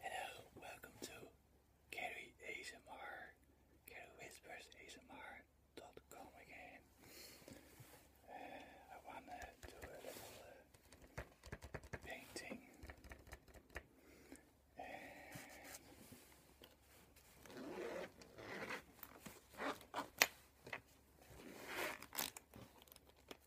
Hello, welcome to Carrie ASMR, CarrieWhispersASMR.com again. Uh, I want to do a little uh, painting.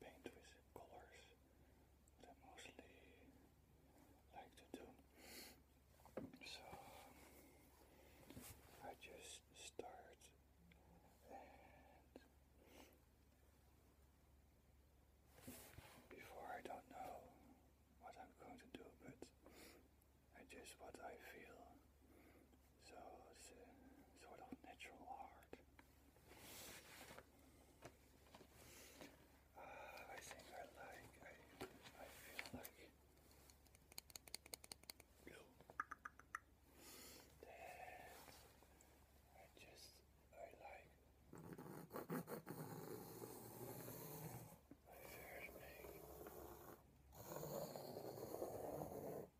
paint with colors that I mostly like to do. So I just start and before I don't know what I'm going to do, but I just what I feel so it's a uh, sort of natural art. Uh, I think I like, I, I feel like that I just, I like my favorite thing.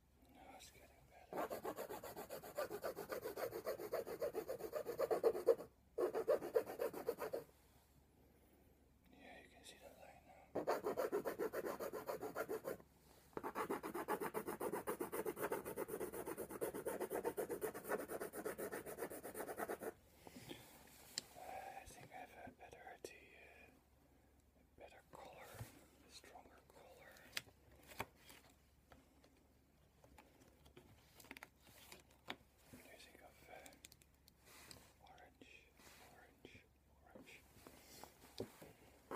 No, Yeah, you can see the light now. I think I've had better idea better color, stronger color. using of orange, orange, orange. So you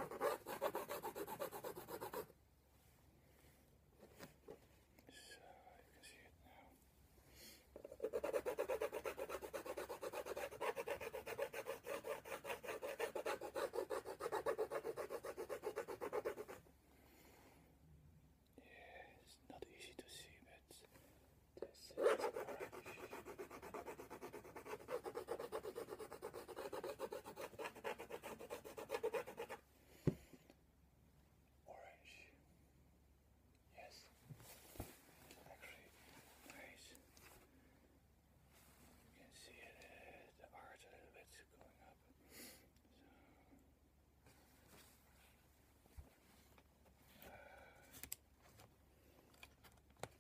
can see it now. Yeah, it's not easy to see, but this Orange. Yes. Actually, nice. You can see it, uh, the arch a little bit going up. Uh,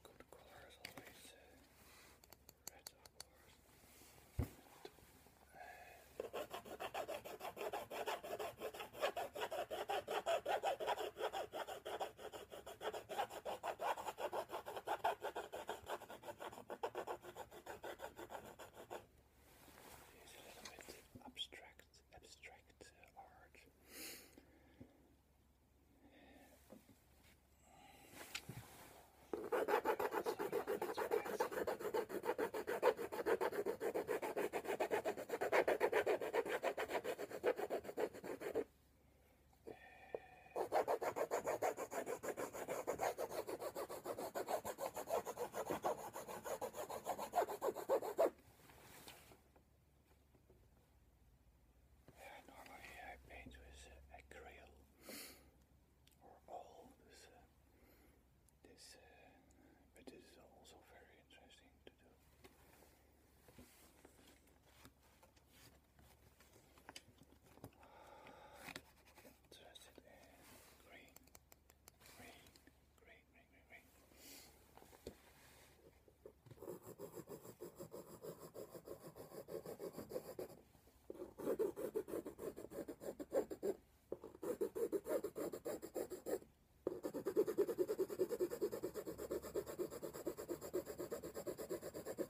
good colors always, uh, of course. It's a little bit abstract, abstract uh, art. Normally I paint with acrylic or all this, uh, uh, but this is also very interesting to do. Interested in green, green, green, green, green, green.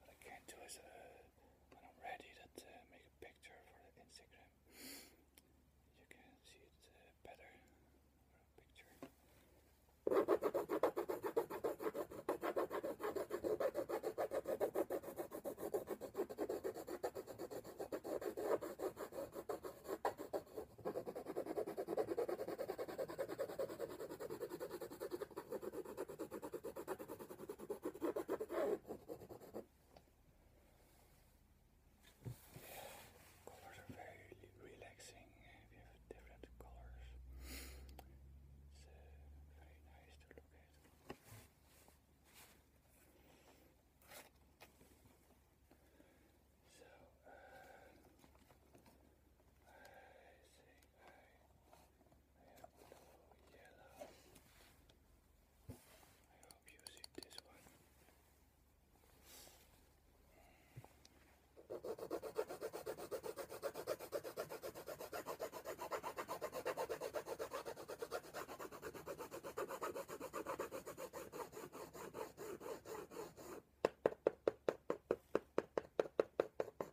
what I can do is when I'm ready that uh, make a picture for the Instagram you can see it uh, better Colors are very relaxing. We have different colors. It's uh, very nice to look at. So, uh, I think yellow. I hope you see this one.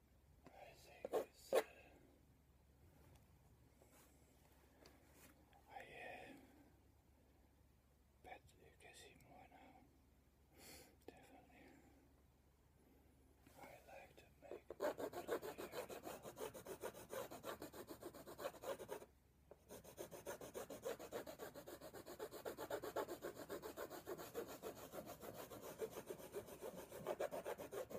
I think I uh, bet you can see more now, definitely. I like to make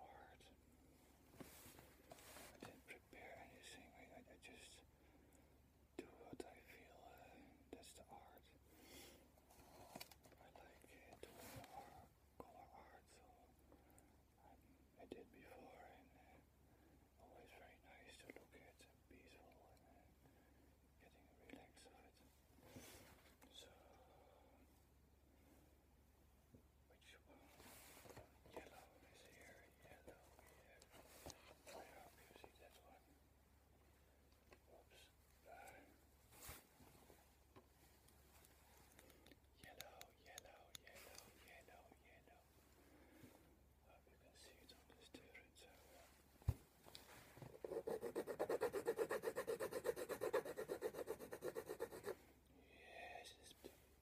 art. I didn't prepare anything. I, just do what I feel. Uh, that's the art. I like doing art, color art, so I did before, and uh, always very nice to look at and peaceful and uh, getting relaxed of it. So which one? Yellow is here, yellow here. I hope you see that one. Oops. Uh, yellow, yellow, yellow, yellow, yellow. I hope you can see it on this different server. Yes, it's beautiful.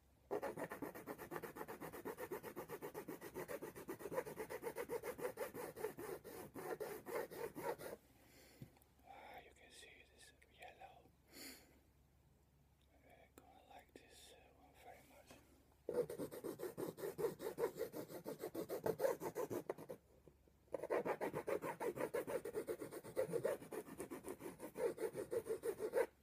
Ah, you can see this yellow. I'm uh, gonna like this uh, one very much.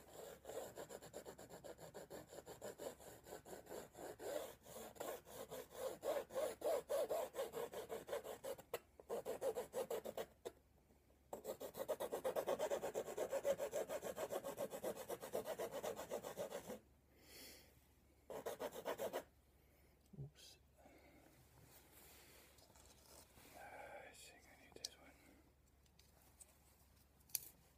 Ah, I think I need this one.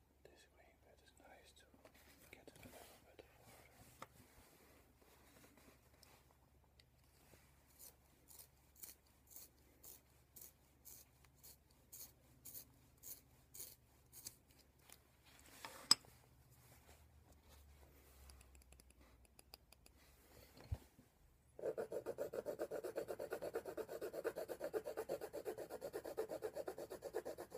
this way, but it's nice to get a little bit farther.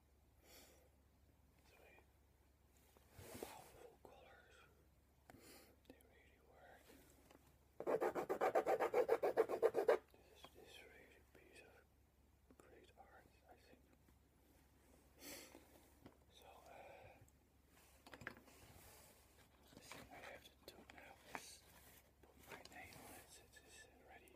Sweet. Powerful This really a great art, I think. So, uh, the thing I have to do now is put my name on it. It is already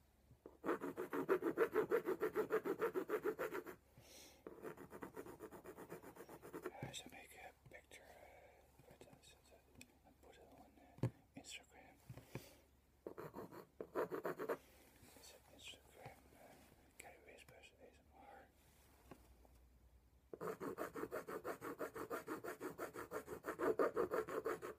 I should make a picture and put it on Instagram. It's Instagram uh, Gary Whispers ASMR.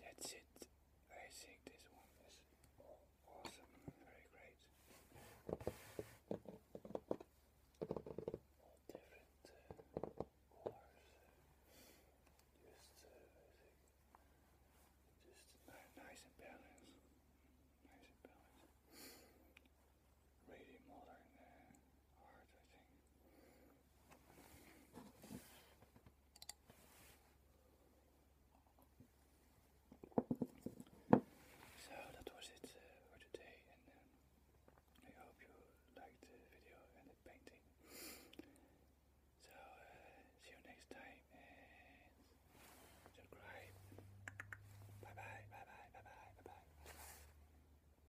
That's it. I think this one is awesome, very great. All different uh, colors. Just, uh, just nice and balanced. Nice and balanced. Really modern. Uh, so that was it uh, for today, and I hope you liked the video and the painting. So uh, see you next time, and subscribe. bye bye, bye bye, bye bye. bye, -bye.